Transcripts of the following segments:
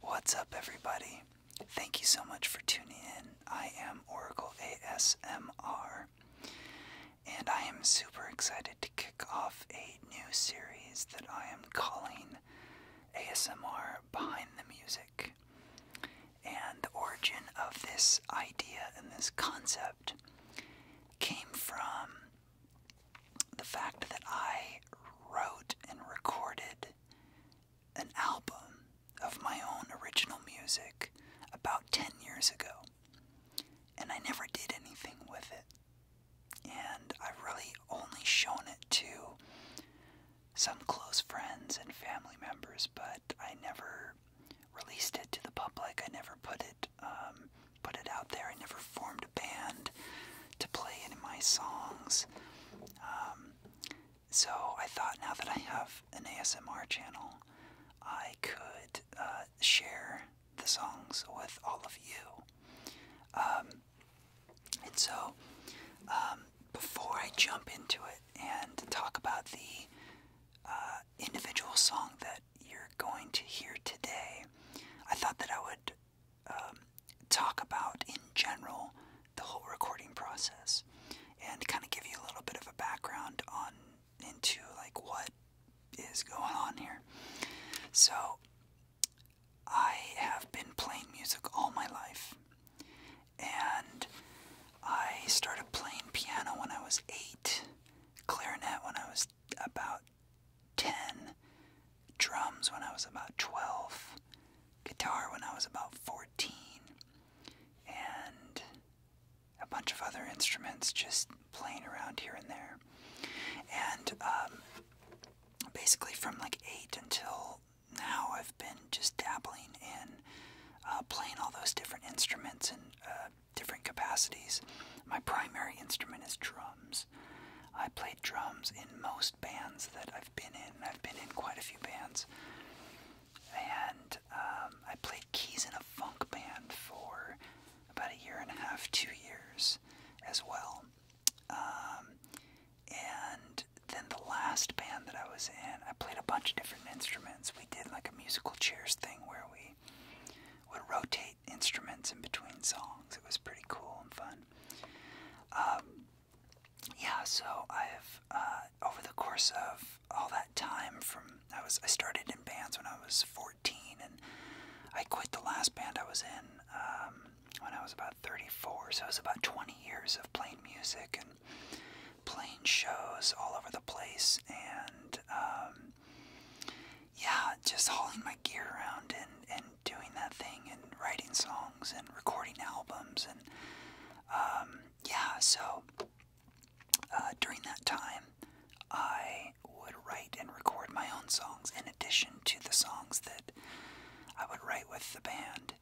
What's up, everybody? Thank you so much for tuning in. I am Oracle ASMR, and I am super excited to kick off a new series that I am calling ASMR Behind the Music. And the origin of this idea and this concept came from the fact that I wrote and recorded an album of my own original music about 10 years ago, and I never did anything with it. And I've really only shown it to some close friends and family members, but I never released it to the public. I never put it um, put it out there. I never formed a band to play it in my songs. Um, so I thought now that I have an ASMR channel, I could uh, share the songs with all of you. Um, and so, um, before I jump into it and talk about the uh, individual song that you're going to hear today, I thought that I would um, talk about in general the whole recording process and kind of give you a little bit of a background on into like what is going on here. So I have been playing music all my life and I started playing piano when I was 8, clarinet when I was about 10, drums when I was about 12, guitar when I was about 14, and a bunch of other instruments just playing around here and there. And um, basically, from like 8 until now, I've been just dabbling in uh, playing all those different instruments in uh, different capacities. My primary instrument is drums. I played drums in most bands that I've been in. I've been in quite a few bands. And um, I played keys in a funk band for about a year and a half, two years as well. Um, and then the last band that I was in, I played a bunch of different instruments. We did like a musical chairs thing where we would rotate instruments in between songs. It was pretty cool and fun. Um, yeah, so I've uh, over the course of all that time, from I was I started in bands when I was 14, and I quit the last band I was in um, when I was about 34. So it was about 20 years of playing music and playing shows all over the place, and um, yeah, just hauling my gear around and and doing that thing and writing songs and recording albums and um, yeah, so uh, during that time, I would write and record my own songs in addition to the songs that I would write with the band.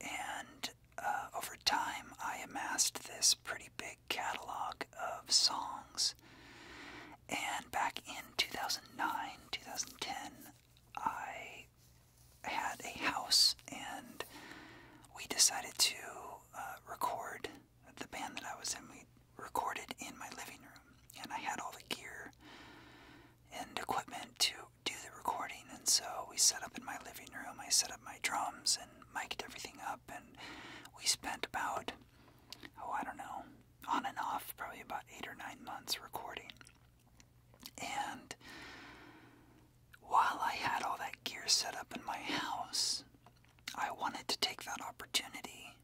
And uh, over time, I amassed this pretty big catalog of songs. And back in 2009, 2010, I had a house and we decided to uh, record the band that I was in. We recorded in my living room and I had all the gear and equipment to do the recording. And so we set up in my living room, I set up my drums and mic'd everything up. And we spent about, oh, I don't know, on and off, probably about eight or nine months recording. And while I had all that gear set up in my house, I wanted to take that opportunity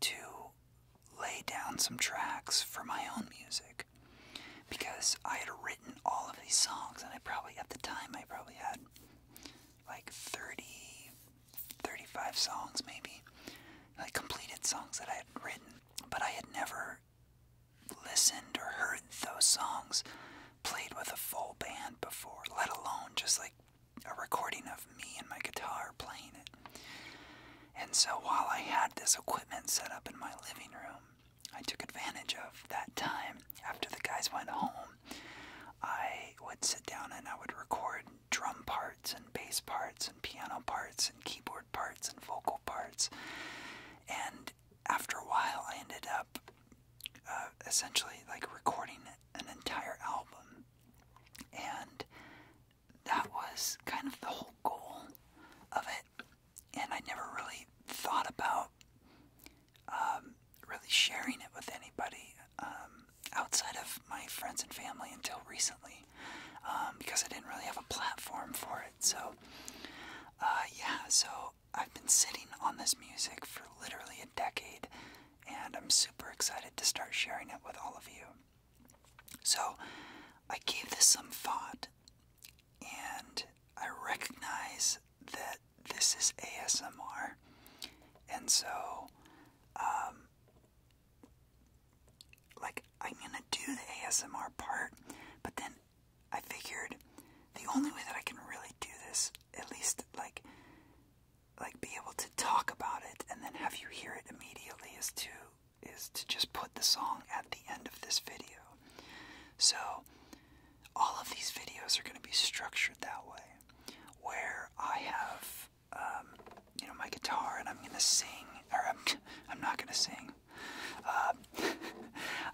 to lay down some tracks for my own music because I had written all of these songs and I probably at the time I probably had like 30 35 songs maybe like completed songs that I had written but I had never listened or heard those songs played with a full band before, let alone just like a recording of me and my guitar playing it. And so while I had this equipment set up in my living room, I took advantage of that time after the guys went home. I would sit down and I would record drum parts and bass parts and piano parts and keyboard parts and vocal parts. And after a while, I ended up uh, essentially like recording an entire album. And that was kind of the whole goal of it. And I never really thought about um, really sharing it with anybody um, outside of my friends and family until recently. Um, because I didn't really have a platform for it. So, uh, yeah, so I've been sitting on this music for literally a decade, and I'm super excited to start sharing it with all of you. So, I gave this some thought, and I recognize that this is ASMR, and so um, like I'm gonna do the ASMR part, but then I figured the only way that I can really do this, at least like like be able to talk about it and then have you hear it immediately is to is to just put the song at the end of this video. So all of these videos are going to be structured that way where I have um, you know, my guitar and I'm gonna sing, or I'm, not gonna sing. Um,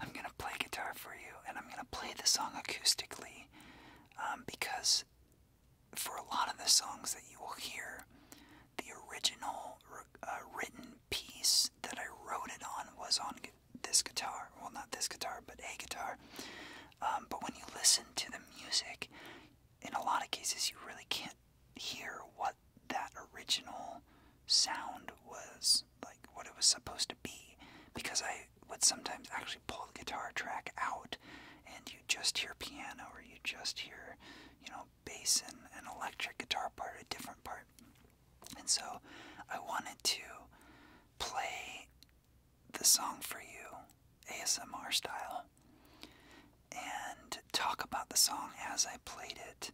I'm gonna play guitar for you, and I'm gonna play the song acoustically um, because for a lot of the songs that you will hear, the original uh, written piece that I wrote it on was on this guitar. Well, not this guitar, but a guitar. but when you listen to the music, in a lot of cases, you really can't hear what that original sound was, like what it was supposed to be, because I would sometimes actually pull the guitar track out and you just hear piano or you just hear, you know, bass and an electric guitar part, a different part. And so I wanted to play the song for you, ASMR style, and talk about the song as I played it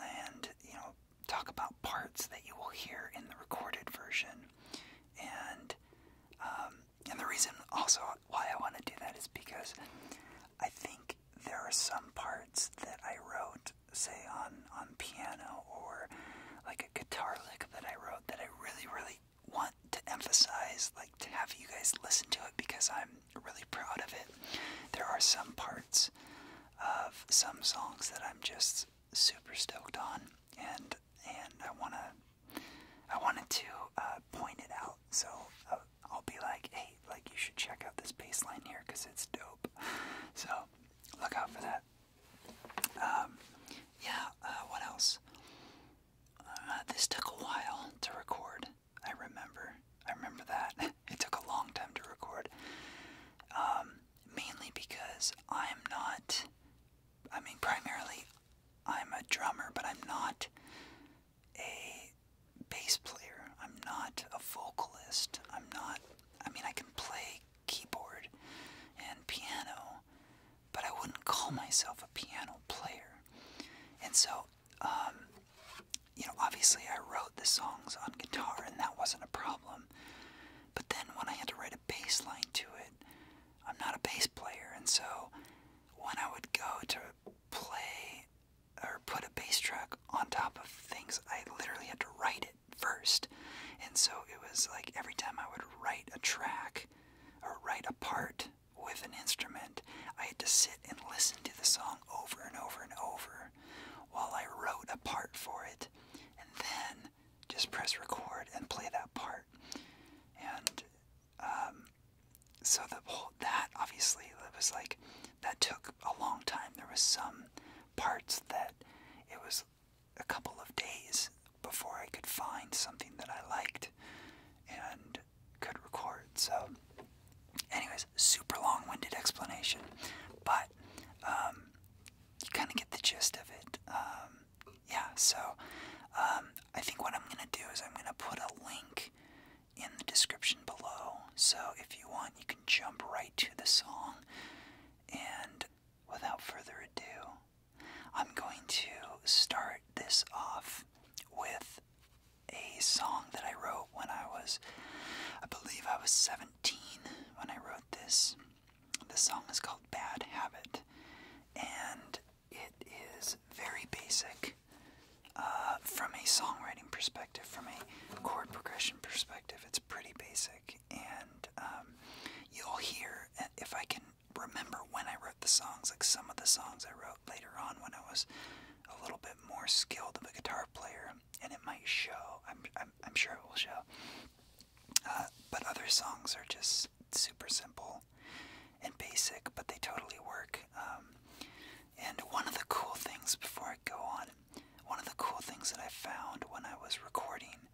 and you know talk about parts that you will hear in the recorded version and um, and the reason also why I want to do that is because I think there are some parts that I wrote say on on piano or like a guitar lick that I wrote that I really really want to emphasize like to have you guys listen to it because I'm really proud of it. There are some parts of some songs that I'm just super stoked on, and and I wanna I wanted to uh, point it out. So uh, I'll be like, hey, like you should check out this baseline here because it's dope. So look out for that. Um, yeah. Uh, what else? this took a while to record. I remember. I remember that. It took a long time to record. Um, mainly because I'm not. I mean, primarily, I'm a drummer, but I'm not a bass player. I'm not a vocalist. I'm not. I mean, I can play keyboard and piano, but I wouldn't call myself a piano player. And so um, you know, obviously I wrote the songs on guitar and that wasn't a problem. But then when I had to write a bass line to it, I'm not a bass player, and so when I would go to play or put a bass track on top of things, I literally had to write it first. And so it was like every time I would write a track or write a part with an instrument, I had to sit and listen to the song over and over and over while I wrote a part for it, and then just press record and play that part. And um, so that whole that obviously it was like that took a long time. There was some parts that it was a couple of days before I could find something that I liked, and could record. So, anyways, super long-winded explanation, but um, you kind of get the gist of it. Um, yeah. So, um, I think what I'm gonna do is I'm gonna put a link in the description below. So if you want, you can jump right to the song. And without further ado, I'm going to start this off with a song that I wrote when I was, I believe I was 17 when I wrote this. The song is called Bad Habit, and it is very basic uh, from a songwriting perspective, from a chord progression perspective. It's pretty basic, and um, you'll hear if I can remember when I wrote the songs, like some of the songs I wrote later on when I was a little bit more skilled of a guitar player, and it might show. I'm, I'm, sure it will show. Uh, but other songs are just super simple and basic, but they totally work. Um, and one of the cool things, before I go on, one of the cool things that I found when I was recording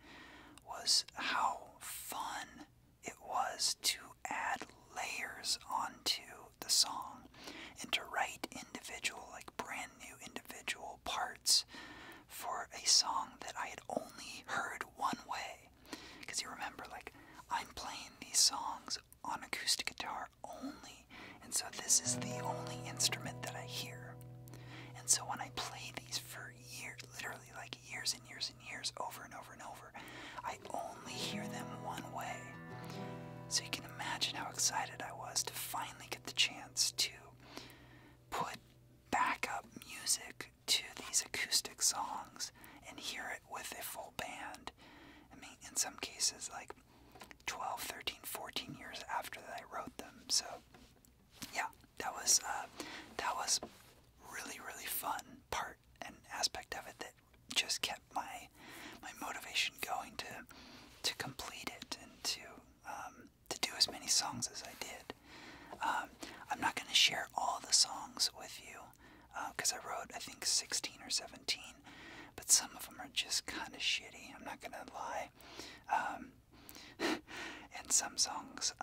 was how fun it was to add layers onto the song and to write individual, like brand new individual parts for a song that I had only heard one way. Because you remember, like, I'm playing these songs on acoustic guitar only, and so this is the only instrument that I hear. And so when I play these for years, literally like years and years years over and over and over. I only hear them one way. So you can imagine how excited I was to finally get the chance to put back up music to these acoustic songs and hear it with a full band. I mean, in some cases, like 12, 13, 14 years after I wrote them. So, yeah, that was uh, that was really really fun part and aspect of it that just kept my my motivation going to to complete it and to um, to do as many songs as I did. Um, I'm not going to share all the songs with you because uh, I wrote I think 16 or 17, but some of them are just kind of shitty. I'm not going to lie. Um, and some songs,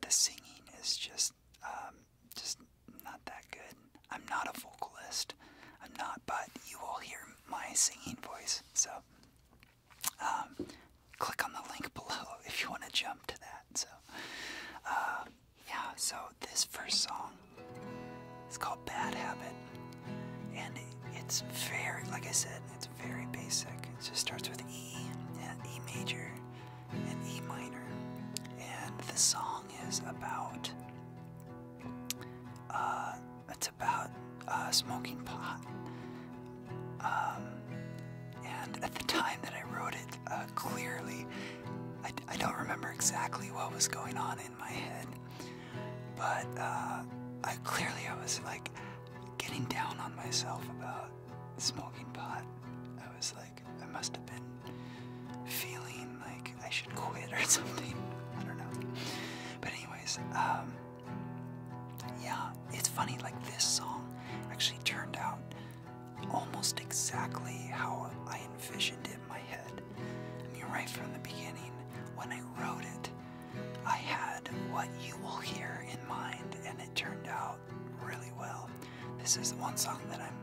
the singing is just um, just not that good. I'm not a vocalist. I'm not, but you will hear my singing voice. So um, click on the link below if you want to jump to that. So uh, yeah, so this first song is called Bad Habit. And it's very, like I said, it's very basic. It just starts with E, and E major in E minor. And the song is about uh, it's about uh, smoking pot. Um, and at the time that I wrote it, uh, clearly, I, don't remember exactly what was going on in my head, but clearly I was like getting down on myself about smoking pot. I was like. I must have been feeling like I should quit or something. I don't know. But anyways, um, yeah, it's funny. Like this song actually turned out almost exactly how I envisioned it in my head. I mean, right from the beginning, when I wrote it, I had what you will hear in mind, and it turned out really well. This is the one song that I'm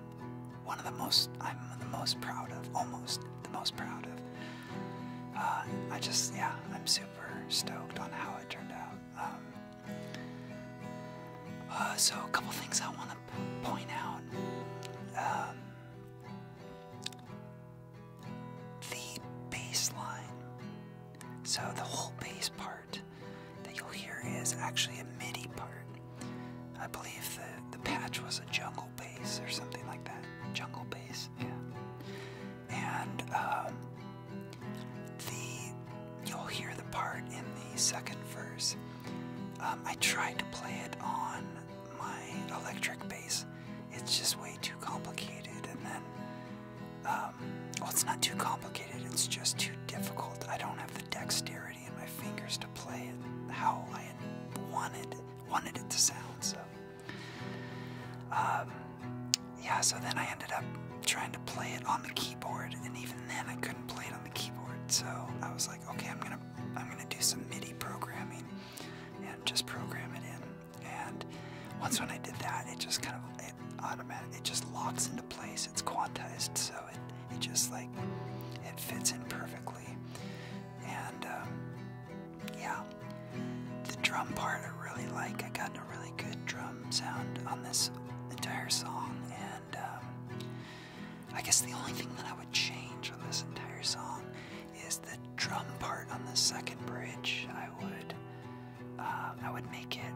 one of the most I'm the most proud of, almost the most proud of. Uh, I just yeah, I'm super stoked on how it turned out. Um, uh, so a couple things I want to point out. Um, the bass line, so the whole bass part that you'll hear is actually a MIDI part. I believe the, the patch was a jungle bass or something like that. Jungle bass, yeah. And um, the you'll hear the part in the second verse. Um, I tried to play it on my electric bass. It's just way too complicated, and then um, well, it's not too complicated. It's just too difficult. I don't have the dexterity and my fingers to play it how I wanted wanted it to sound. So, um, yeah. So then I ended up trying to play it on the keyboard, and even then I couldn't play it on the keyboard. So I was like, okay, I'm gonna I'm gonna do some MIDI programming and just program it in. And once when I did that, it just kind of it automatic it just locks into place it's quantized, so it, just like it fits in perfectly. And um, yeah, the drum part I really like. I got a really good drum sound on this entire song, and um, I guess the only thing that I would change on this entire song is the drum part on the second bridge. I would uh, I would make it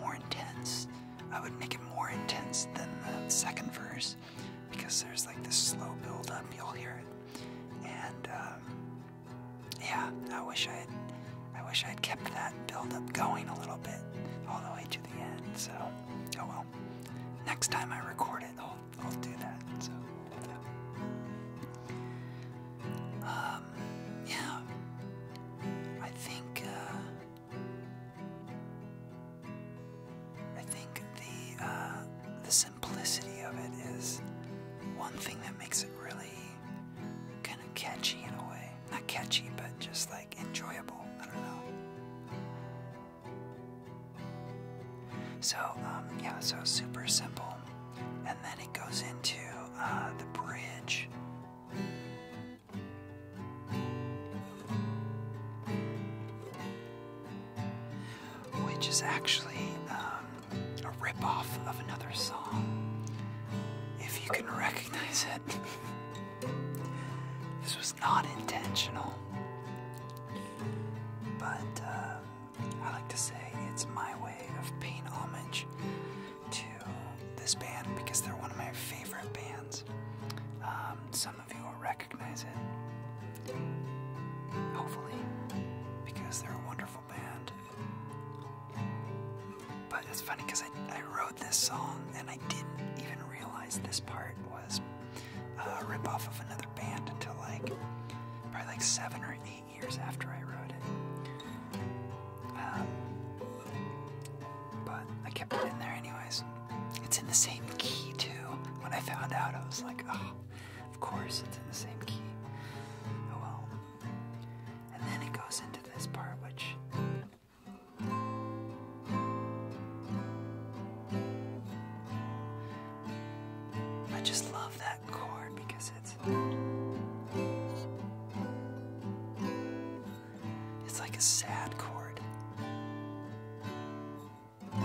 more intense. I would make it more intense than the second verse because there's like this slow build up, you'll hear it. And um, yeah, I wish I had I wish I had kept that build up going a little bit all the way to the end. So oh well. Next time I record it I'll I'll do that. So yeah. Um, I think uh, I think the uh, the simplicity of it is one thing that makes it really kind of catchy in a way. Not catchy, but just like enjoyable. I don't know. So um, yeah, so super simple, and then it goes into uh, the bridge which is actually um, a ripoff of another song. If you can recognize it, this was not intentional, but uh, I like to say it's my way of paying homage to this band because they're one of my favorite bands. Um, some of you will recognize it, hopefully, because they're a wonderful band. But it's funny because I, wrote this song and I didn't even realize this part was a ripoff of another band until like probably like seven or eight years after I wrote it. Um, but I kept it in there anyways. It's in the same key too. When I found out, I was like, oh, of course it's in the same key. Oh, well. And then it goes into this part, which. I just love that chord because it's. It's like a sad chord. I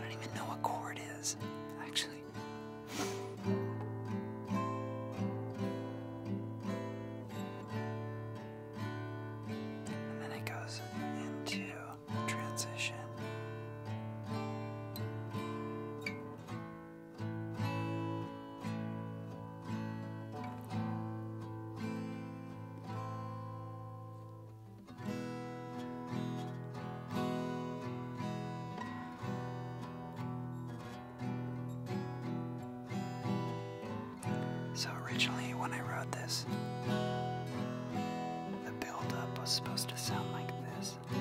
don't even know what chord is, actually. And then it goes into transition. So originally when I wrote this, the build up was supposed to sound like this eyes.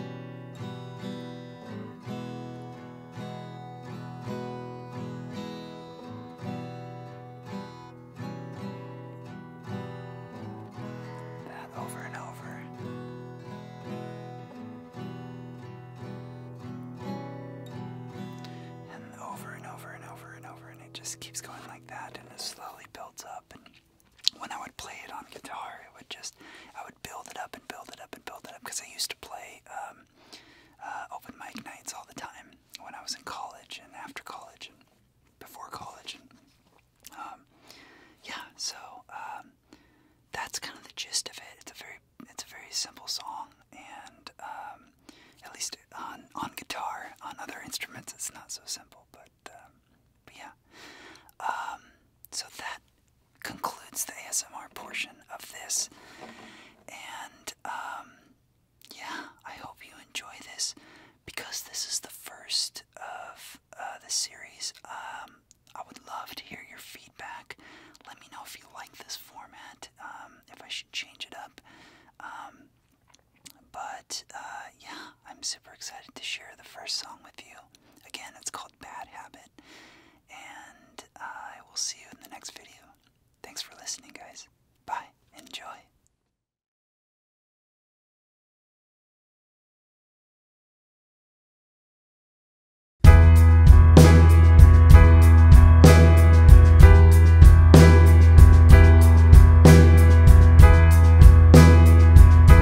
That over and over. And over and over and over and over, and it just keeps going like that, and it slowly builds up. when I would play it on guitar, it would just, I would build it up and build it up and build it up because I used to play um, uh, open mic nights all the time when I was in college and after college and before college and um, yeah, so um, that's kind of the gist of it. It's a very it's a very simple song and um, at least on on guitar on other instruments it's not so simple but um, but yeah um, so that concludes the ASMR portion of this. And um, yeah, I hope you enjoy this because this is the first of uh, the series. Um, I would love to hear your feedback. Let me know if you like this format, um, if I should change it up. but uh, yeah, I'm super excited to share the first song with you. Again, it's called Bad Habit. And I will see you in the next video. Thanks for listening, guys. Bye. Enjoy.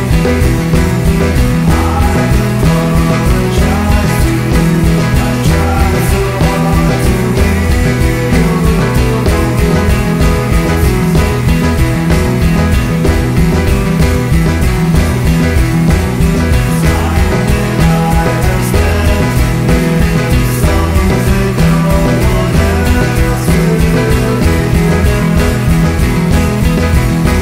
I apologize to you, I've tried so hard to be with you I apologize to you, I've tried so hard to be with you